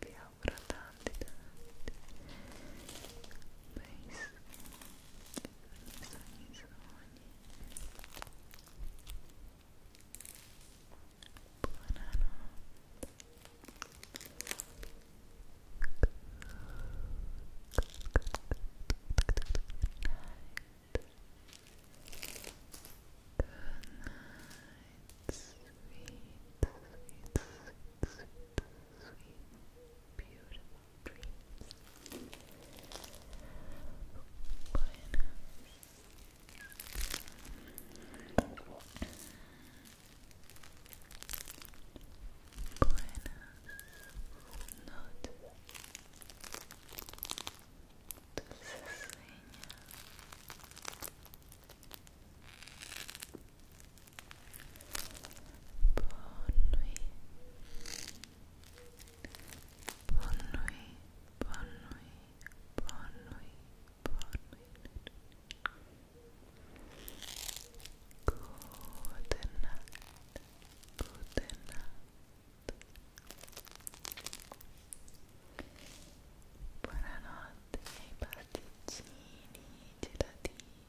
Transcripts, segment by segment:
vi auguro Good night, sweet, sweet, sweet, sweet, beautiful dreams. Buenas. Buenas noches. Dulces sueños. Bonne nuit. Bonne nuit. Bonne Good night. Good night. Buonanotte ai pasticcini, gelatini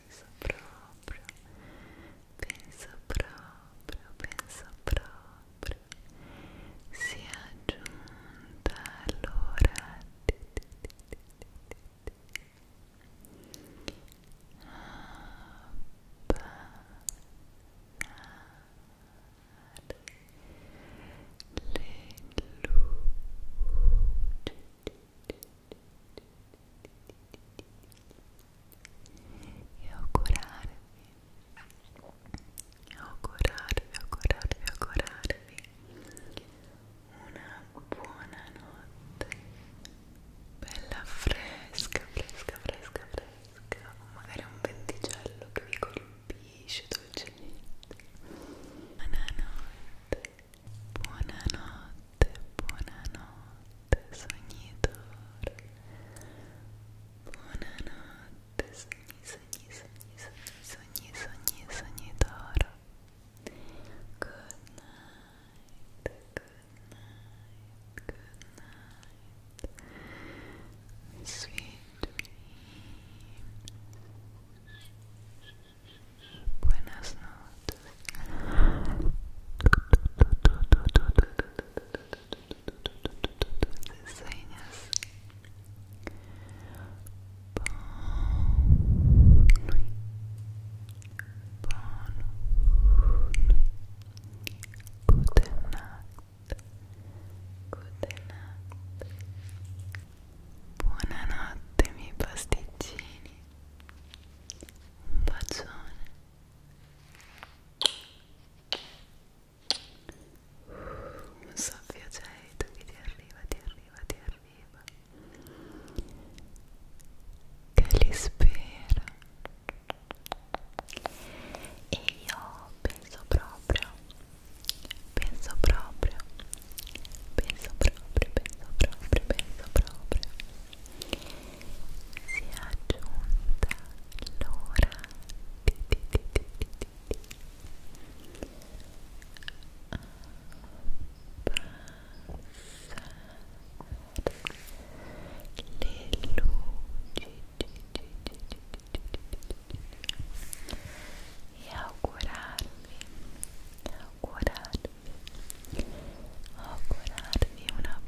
penso proprio, penso proprio, penso proprio sia giunta l'ora le luci e augurarvi augurarvi augurarvi augurarvi una buona notte bella fresca fresca fresca fresca o magari un venticello che vi colpisce dolcemente buonanotte buonanotte buonanotte sognitore buonanotte sogni sogni sogni sogni sogni sognitore good night good night good night sweet dreams buenas noches Sueñas Bon nuit Bon nuit Gute Nacht Gute Nacht Buonanotte miei pasticcini Un bacione un soffio aceto che ti arriva, ti arriva, ti arriva che li spera e io penso proprio penso proprio penso proprio, penso proprio, penso proprio si è aggiunta l'ora di, di, di, di, di, di abbassare le luci e augurarvi augurarvi Oh, augurarvi una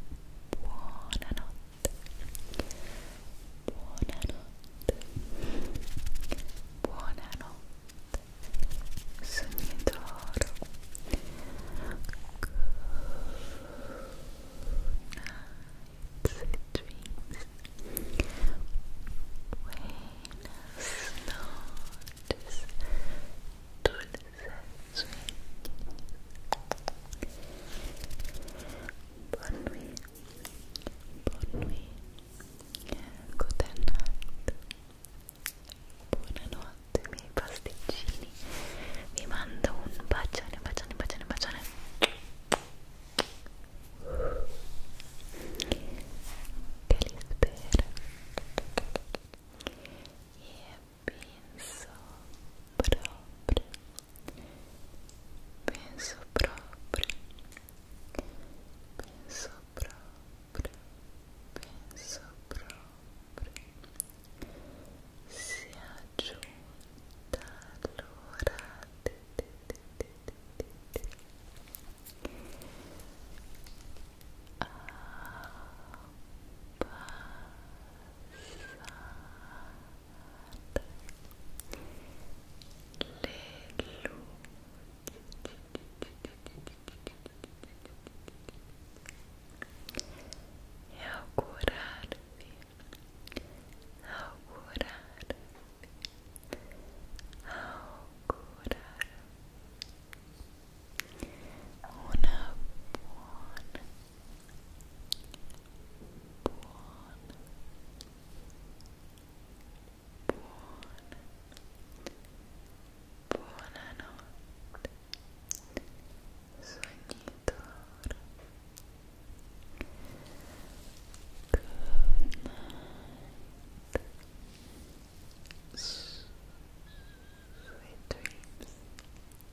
buona notte buonanotte buonanotte sogni d'oro good dreams buenas noches Good Buon nuit, buon nuit, good night, buonanotte miei pasticcini, vi mando un bacione, bacione, bacione, bacione che li spero e penso proprio penso proprio penso proprio penso proprio si è giunta e augurarvi augurarvi augurarvi una buona Buon. Buon. Buonanotte. Sognitore. night. Sweet dreams.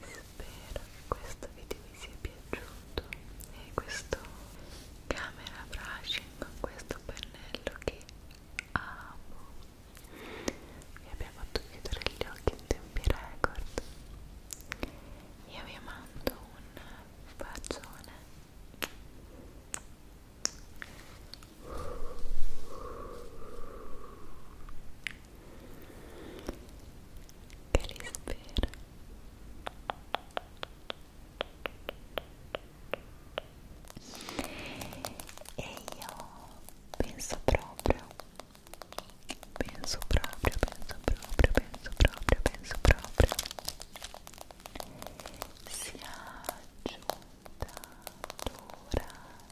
Spero che questo video vi sia piaciuto e questo camera brushing con questo pennello che amo vi abbia fatto chiudere gli occhi in tempi record io vi mando un bacione que ele espera. E eu penso proprio, penso proprio, penso proprio, penso proprio, penso proprio. Sia giunta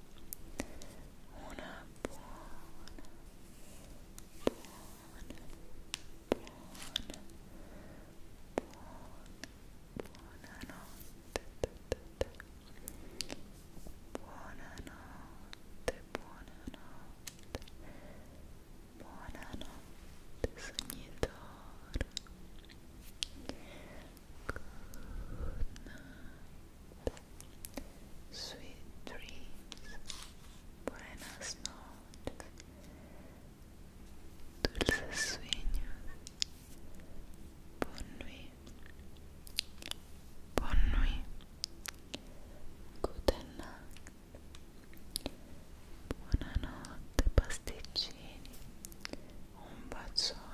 una buona, buona, buona, buona, buonanotte, buonanotte, buonanotte, buonanotte, sognitor. Good night. Sweet dreams. Buenas noches. Dulces sueños. Bonne nuit. Bonne nuit. Good night. Buonanotte pasticcini, un bacione.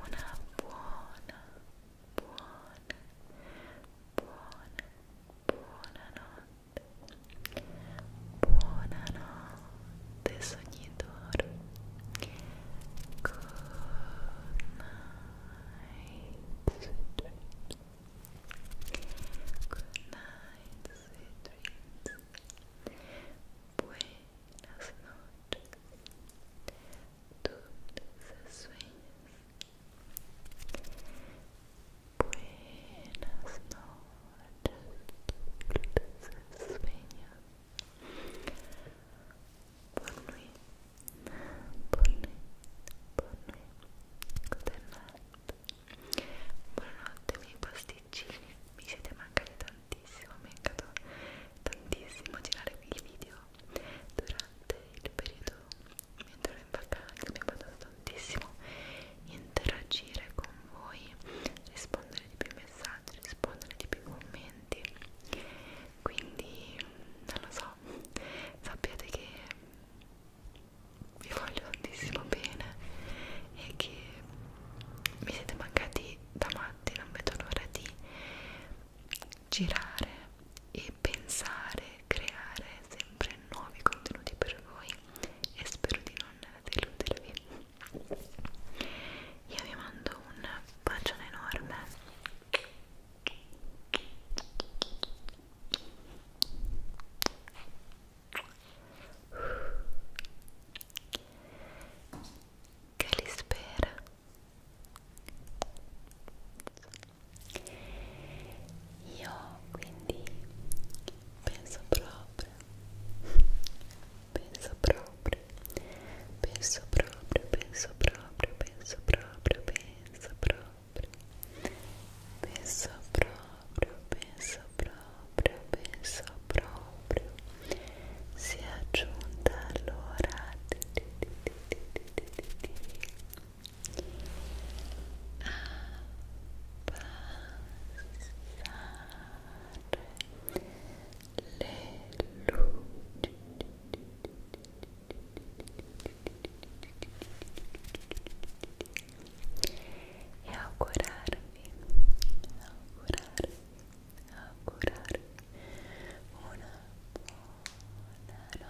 Una buona, buona, buona, buonanotte. Buonanotte, sognatore. Good night, sweet dreams. Good night, sweet dreams. Buenas las noches, dulces sueños. Buenas noches, dulces sueños. Bonne nuit, bonne nuit, Buonanotte miei pasticcini, mi siete mancati tantissimo, mi è andato tantissimo girare quei video durante il periodo mentre ero in vacanza, mi è andato tantissimo interagire con voi, rispondere di più messaggi, rispondere di più commenti, quindi non lo so, sappiate che vi voglio tantissimo bene e che mi siete mancati da matti, non vedo l'ora di girare e pensare, creare sempre nuovi contenuti per voi e spero di non deludervi. Io vi mando un bacione enorme che li spera io quindi penso proprio penso proprio penso proprio penso proprio penso proprio penso proprio penso proprio penso proprio proprio, penso proprio sia giunta l'ora di, di, di, di, di, di, di, di abbassare le luci e augurarvi augurarvi a curar una buona buonanotte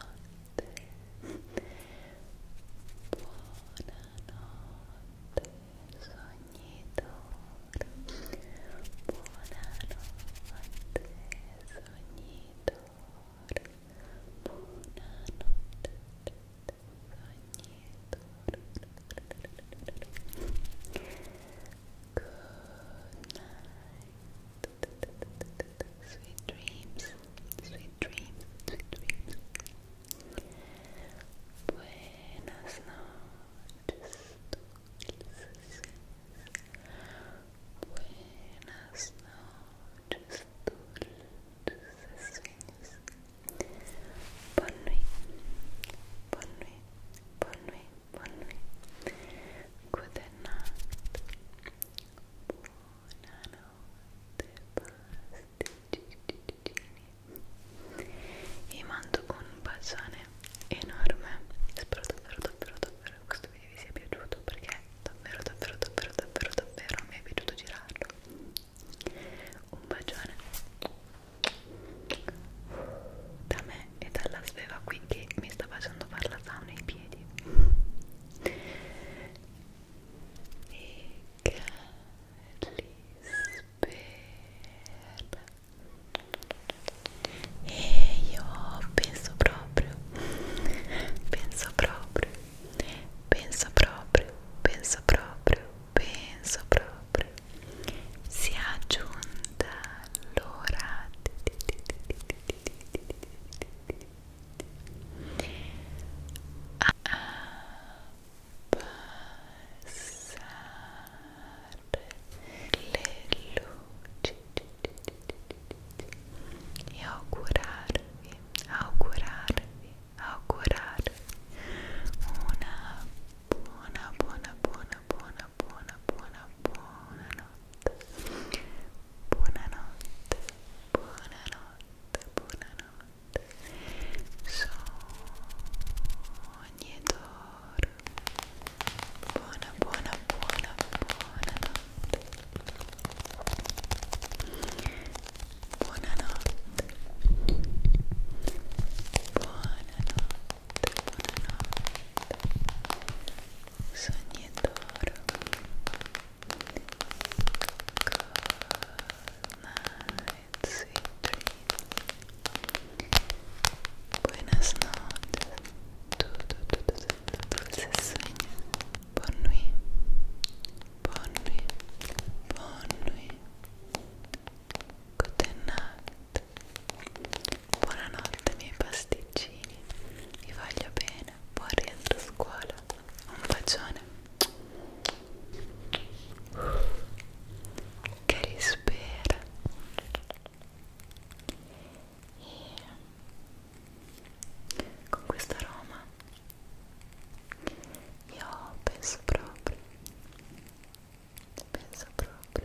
sognitore buonanotte buonanotte sognitore Sweet dreams, sweet dreams, sweet dreams. Buenas noches, dulces. Buenas noches, dulces sueños. Bonne nuit, bonne nuit. Bonne nuit, bonne nuit. Good night. Buonanotte, pasticcini. Vi mando un bacione enorme. Spero davvero, davvero, davvero che questo video vi sia piaciuto perché davvero, davvero, davvero, davvero, davvero mi è piaciuto girarlo. Un bacione da me e dalla sveva qui che mi sta facendo fare la sauna ai piedi e cali spera e io penso proprio penso proprio penso proprio penso proprio penso proprio si è aggiunta l'ora a passare le luci e augurarvi, augurarvi, augurarvi una buona, buona, buona, buona, buona, buona, buona, buona notte. Buonanotte, buonanotte, buonanotte. Sogni e d'oro. Buona, buona, buona, buonanotte. Buonanotte. Buonanotte buonanotte sogni buenas noches tu, tu, tu, tu, tu, tu, dulces sueños nuit bonne nuit bonne nuit Good night. Buonanotte miei pasticcini. Vi voglio bene. Buon rientro a scuola. Un bacione. Che rispera. E con questa Roma io penso proprio penso proprio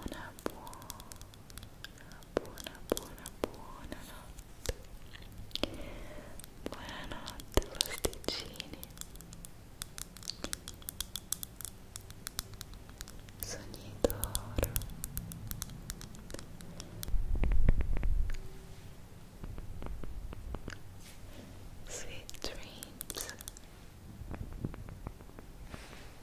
una buona, buona, buona, buona notte. Buonanotte, pasticcini. Sogni d'oro. Sweet dreams. Buenas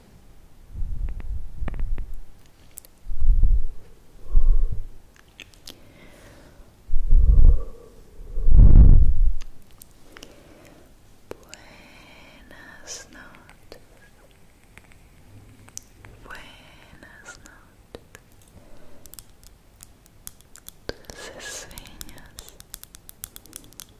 noches. Buenas noches. Dulces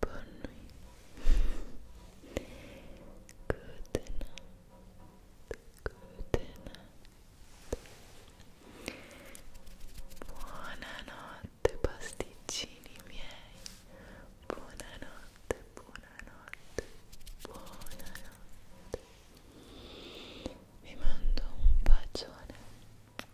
Bonne nuit. Buonanotte pasticcini miei. Buonanotte, buonanotte, buonanotte. Vi mando un bacione.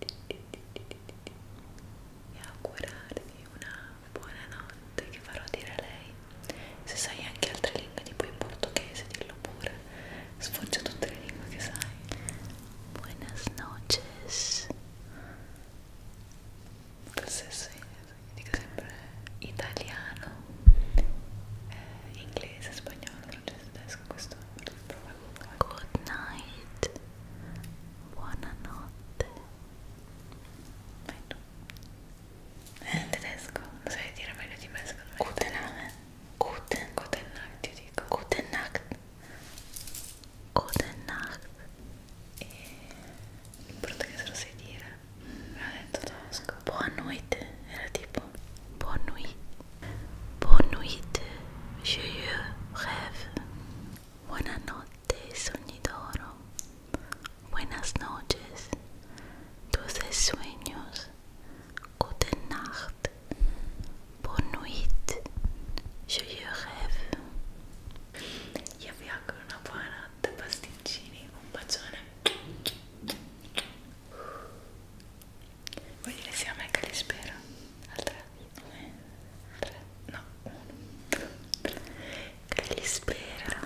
e augurarvi una buona notte che farò dire a lei se sai anche altre lingue tipo in portoghese dillo pure sfoggio tutte le lingue che sai buenas noches questo è dico sempre italiano eh, inglese, spagnolo processo adesso questo Good night Buonanotte Vai tu È in tedesco? Non sai dire meglio di me secondo me Guten Nacht Guten Guten Nacht ti dico Guten Nacht Guten Nacht E... In portoghese lo sai dire? Me l'ha detto tedesco Buonanotte Era tipo Buonanotte Boa noite, joyeux rêve. Buenas noches, sonidoro. Buenas noches, dulces sueños. Gute Nacht, Bonne nuit, joyeux rêve. Io vi auguro una buona notte, pasticcini. Un bacione. Vuoi dire sia a me che li spera? Al 3? 3? No, 1 Che li spera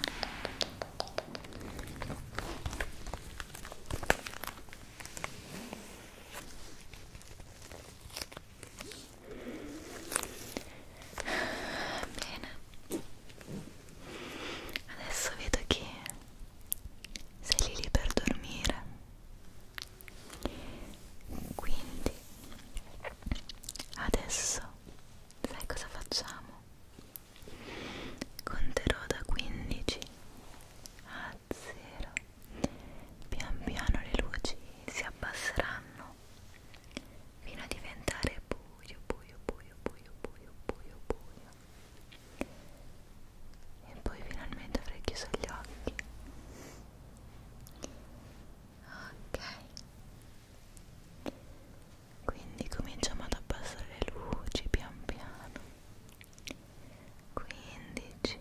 Bene Adesso vedo che sei lì per dormire quindi adesso sai cosa facciamo? conterò da 15 a 0 pian piano le luci si abbasseranno fino a diventare buio buio buio buio buio buio buio e poi finalmente avrei chiuso gli occhi ok quindi cominciamo ad abbassare le luci pian piano 15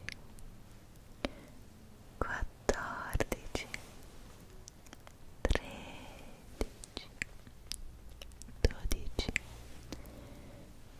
14 13 12 11 10 9 8 7 6 5 4 3 2 1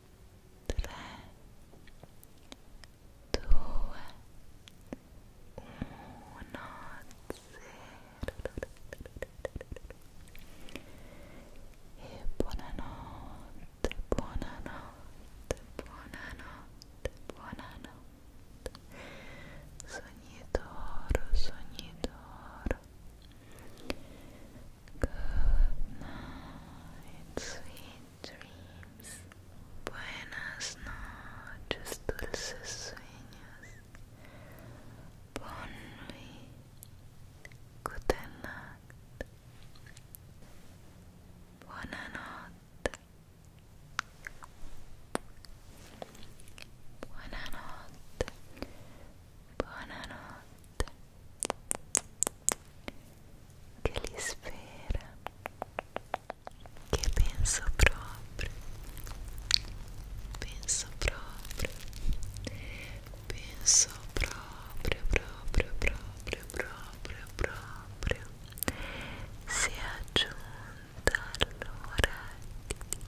3, 2, 1, 0 e buonanotte, buonanotte, buonanotte, buonanotte sogni d'oro, sogni d'oro Good night, sweet dreams. Buenas noches, dulces sueños. Bon nuit. Gute Nacht. Buonanotte. Buonanotte. Buonanotte. che li spera, che penso proprio, penso proprio, penso proprio, proprio, proprio, proprio, proprio, si è aggiunta allora a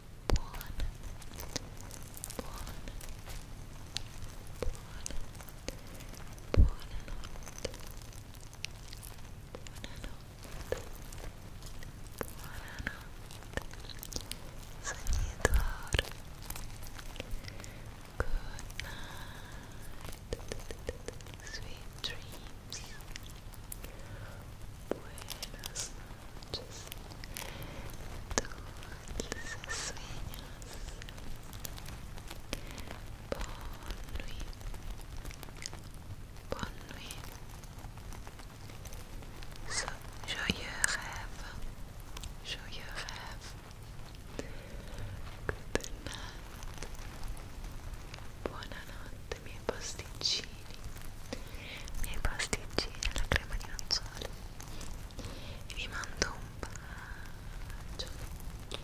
Good night. Sweet dreams. Buenas noches, dulces sueños. Bonne nuit, bonne nuit. So, joyeux rêve, joyeux rêve. Good night. Buonanotte, miei posticini. i miei pasticcini alla crema di nocciole e vi mando un bacio Cari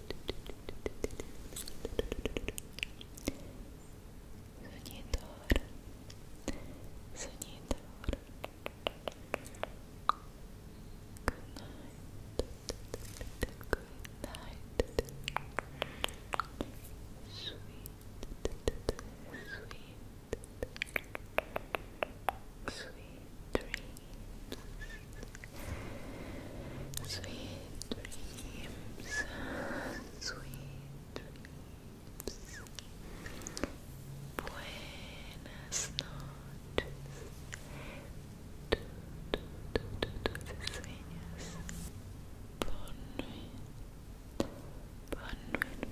Sonidor, sonidor. Good night, good night. Sweet, sweet, sweet. dreams, sweet dreams, sweet dreams. Buenas noches. Tu, tu, tu, tu, dulces sueños. Bon nuit. Bon nuit.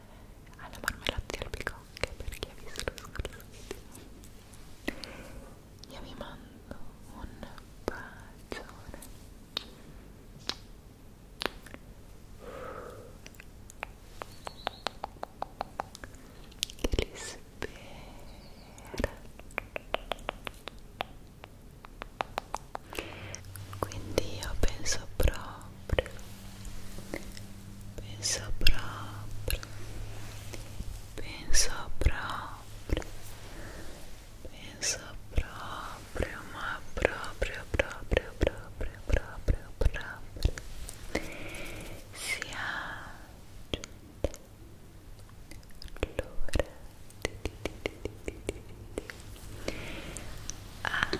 alla ah, marmellata di albicocche per chi ha visto lo scorso video io vi mando un bacione che li spera quindi io penso proprio pensa próprio, pensa próprio, pensa próprio, uma própria, própria, própria, própria, própria, se abre, flora, abba.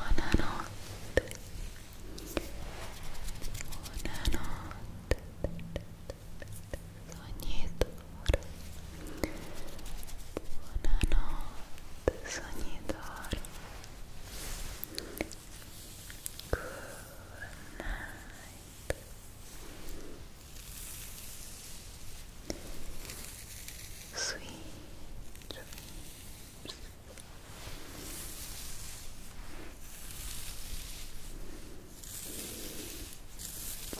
Buonanotte. Buonanotte. Sognitore. Buonanotte, sognitore. Good night. Sweet dreams.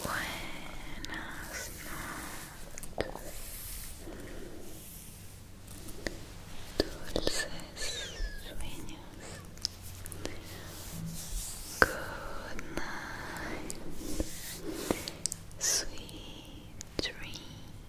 Buenas noches, dulces sueños. Good night, sweet dreams.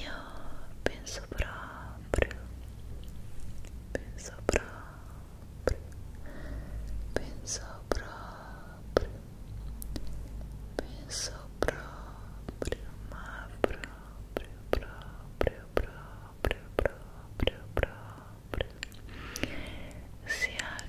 Io penso proprio, penso proprio, penso proprio, penso proprio, ma proprio, proprio, proprio, proprio, proprio, sia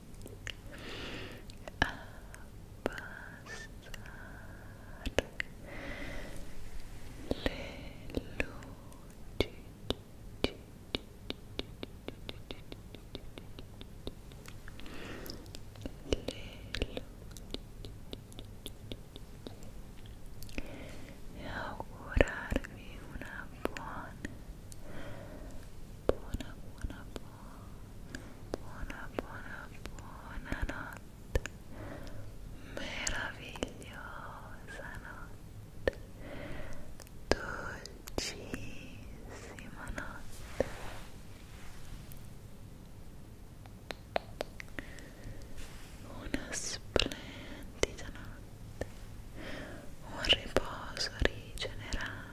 a abbassare le luci le luci e augurarvi una buona buona buona buona buona buonanotte meravigliosa notte dolcissima notte una splendida notte un riposo rigenerante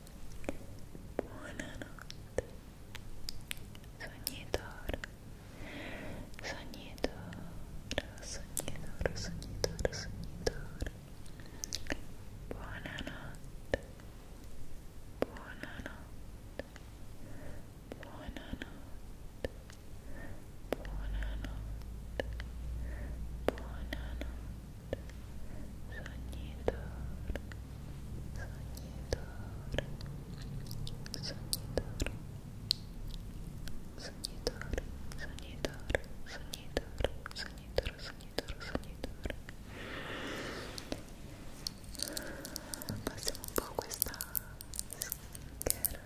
Buonanotte, sognatore, sognatore, sognatore, sognatore, sognatore. Buonanotte, buonanotte, buonanotte, buonanotte, buonanotte soñador, soñador, soñador. Soñador, soñador, soñador, soñador, soñador, soñador. Passiamo un po' questa skincare.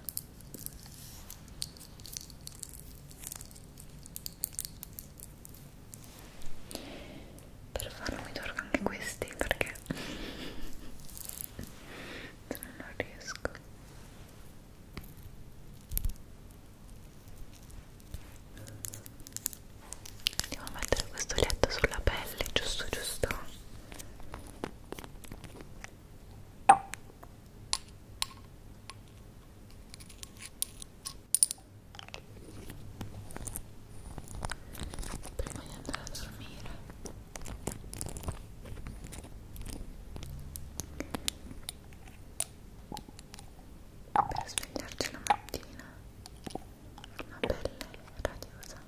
per farlo mi torno anche questi perché non riesco andiamo a mettere questo letto sulla pelle giusto giusto prima di andare a dormire per svegliarci la mattina una pelle radiosa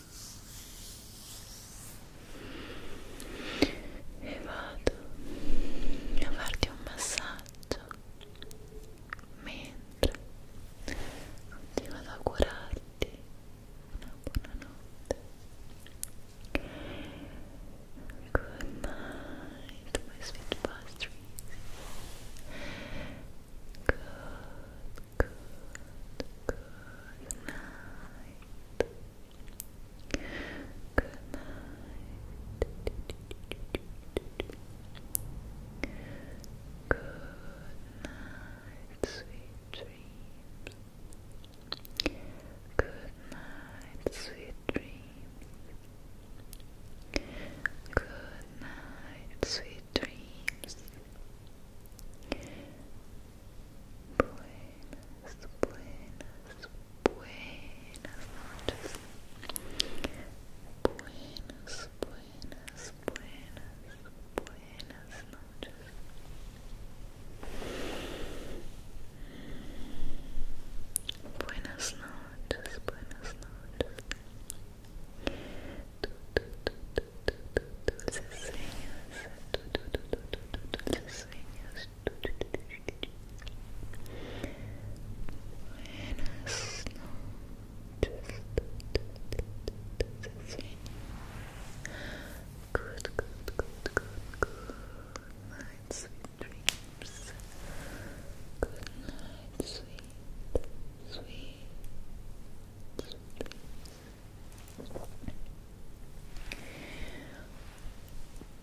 e vado a farti un massaggio mentre continuo ad augurarti una buonanotte good night my sweet pastries good good night. Good night. Good night, sweet dreams. Good night, sweet dreams. Good night, sweet dreams. Buenas, buenas, buenas noches. Buenas, buenas, buenas, buenas noches. Buenas noches, buenas noches dulces sueños, dulces sueños, buenas noches, dulces sueños, good, good, good, good, good night, sweet dreams, good night, sweet, sweet, sweet dreams.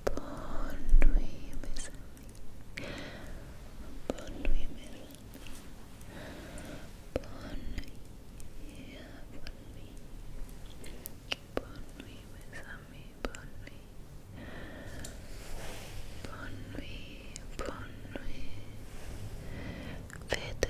Bonne nuit, mes amis. Bonne nuit, mes amis. Bonne nuit. Bonne nuit. Bonne nuit, mes amis. Bonne nuit. Bonne nuit. Bonne nuit. Faites de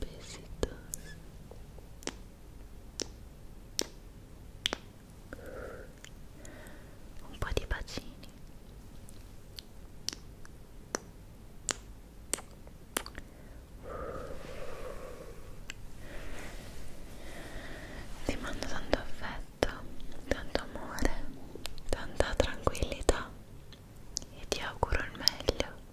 Besitos. Un po' di bacini. Ti mando tanto affetto, tanto amore, tanta tranquillità e ti auguro il meglio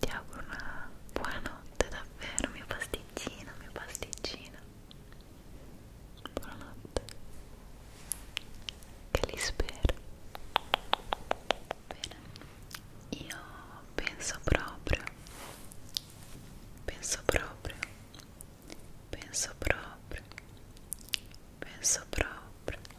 ti auguro una buonanotte davvero mio pasticcino mio pasticcino buonanotte che li spero bene io penso proprio penso proprio penso proprio penso proprio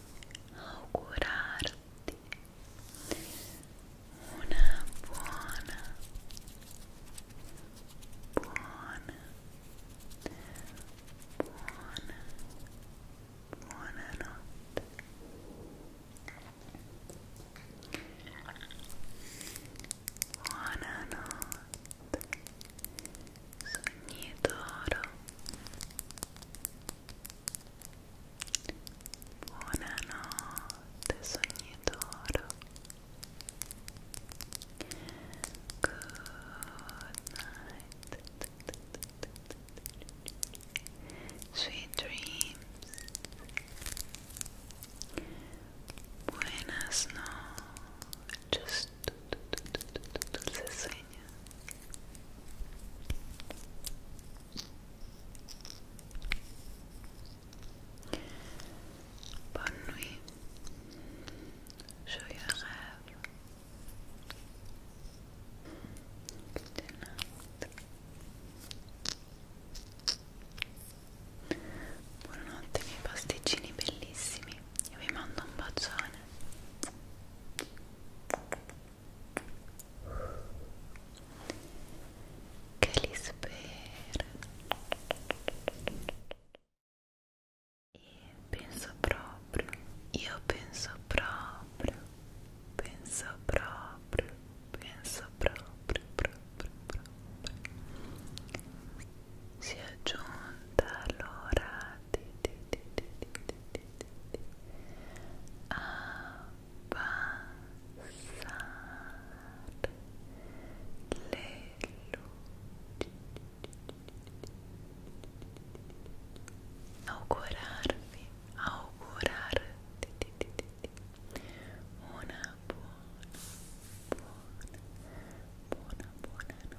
augurarti una buona, buona, buona, buona notte. Buonanotte, sogni d'oro. Buonanotte sogni d'oro Good night Sweet dreams Buenas noches Just segna Bonne nuit Joyeux rêve Buonanotte miei pasticcini bellissimi Io vi mando un bacione che li spera e penso proprio io penso proprio penso proprio penso proprio proprio proprio si è giunta l'ora di, di, di, di, di, a pasar le una buona buona buona buona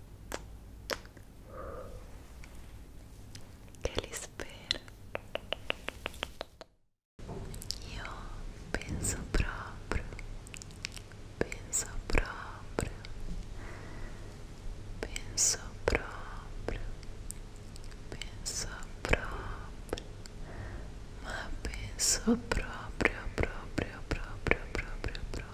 che li spera io penso proprio penso proprio penso proprio penso proprio ma penso proprio proprio proprio proprio proprio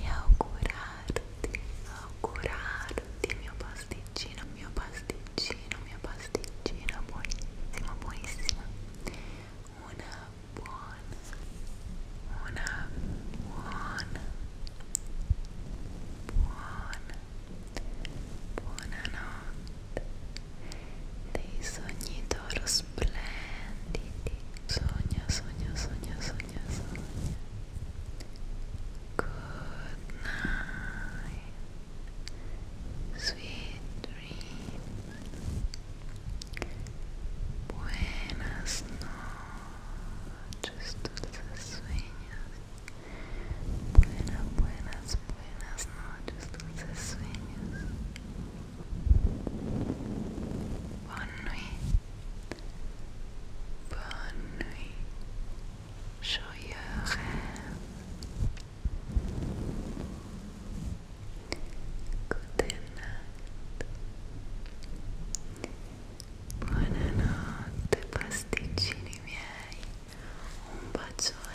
e augurarti, augurarti mio pasticcino, mio pasticcino, mio pasticcino buonissima, buonissima una buona, una buona, buona, buonanotte dei sogni adoro, splendidi. Sogna, sogna, sogna, sogna, sogna. Good night. Sweet dreams. Buenas noches, dulces sueños. Buenas, buenas, buenas noches, dulces sueños. Bonne nuit. Bonne nuit. Joyeux Good night. Buonanotte pasticcini miei. Un bacione.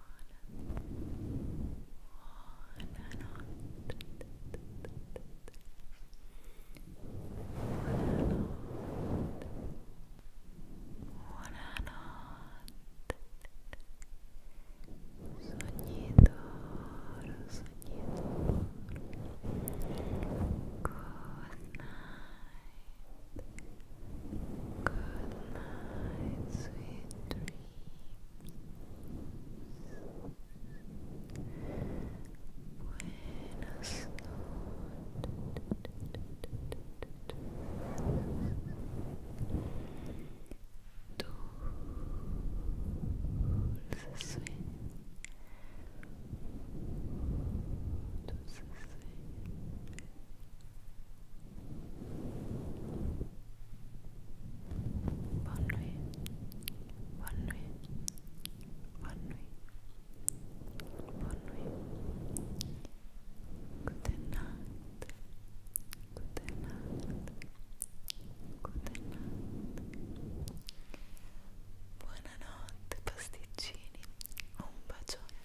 on and on. Soñador, soñador. Good night. Good night, sweet dreams. Buenas noches. Dulce sueño. Dulce sueño. Dulce sueño. Bonne nuit. Bonne nuit. Bonne nuit. Bonne nuit. Good night. Good night. Good night. Buonanotte pasticcini. Un bacione.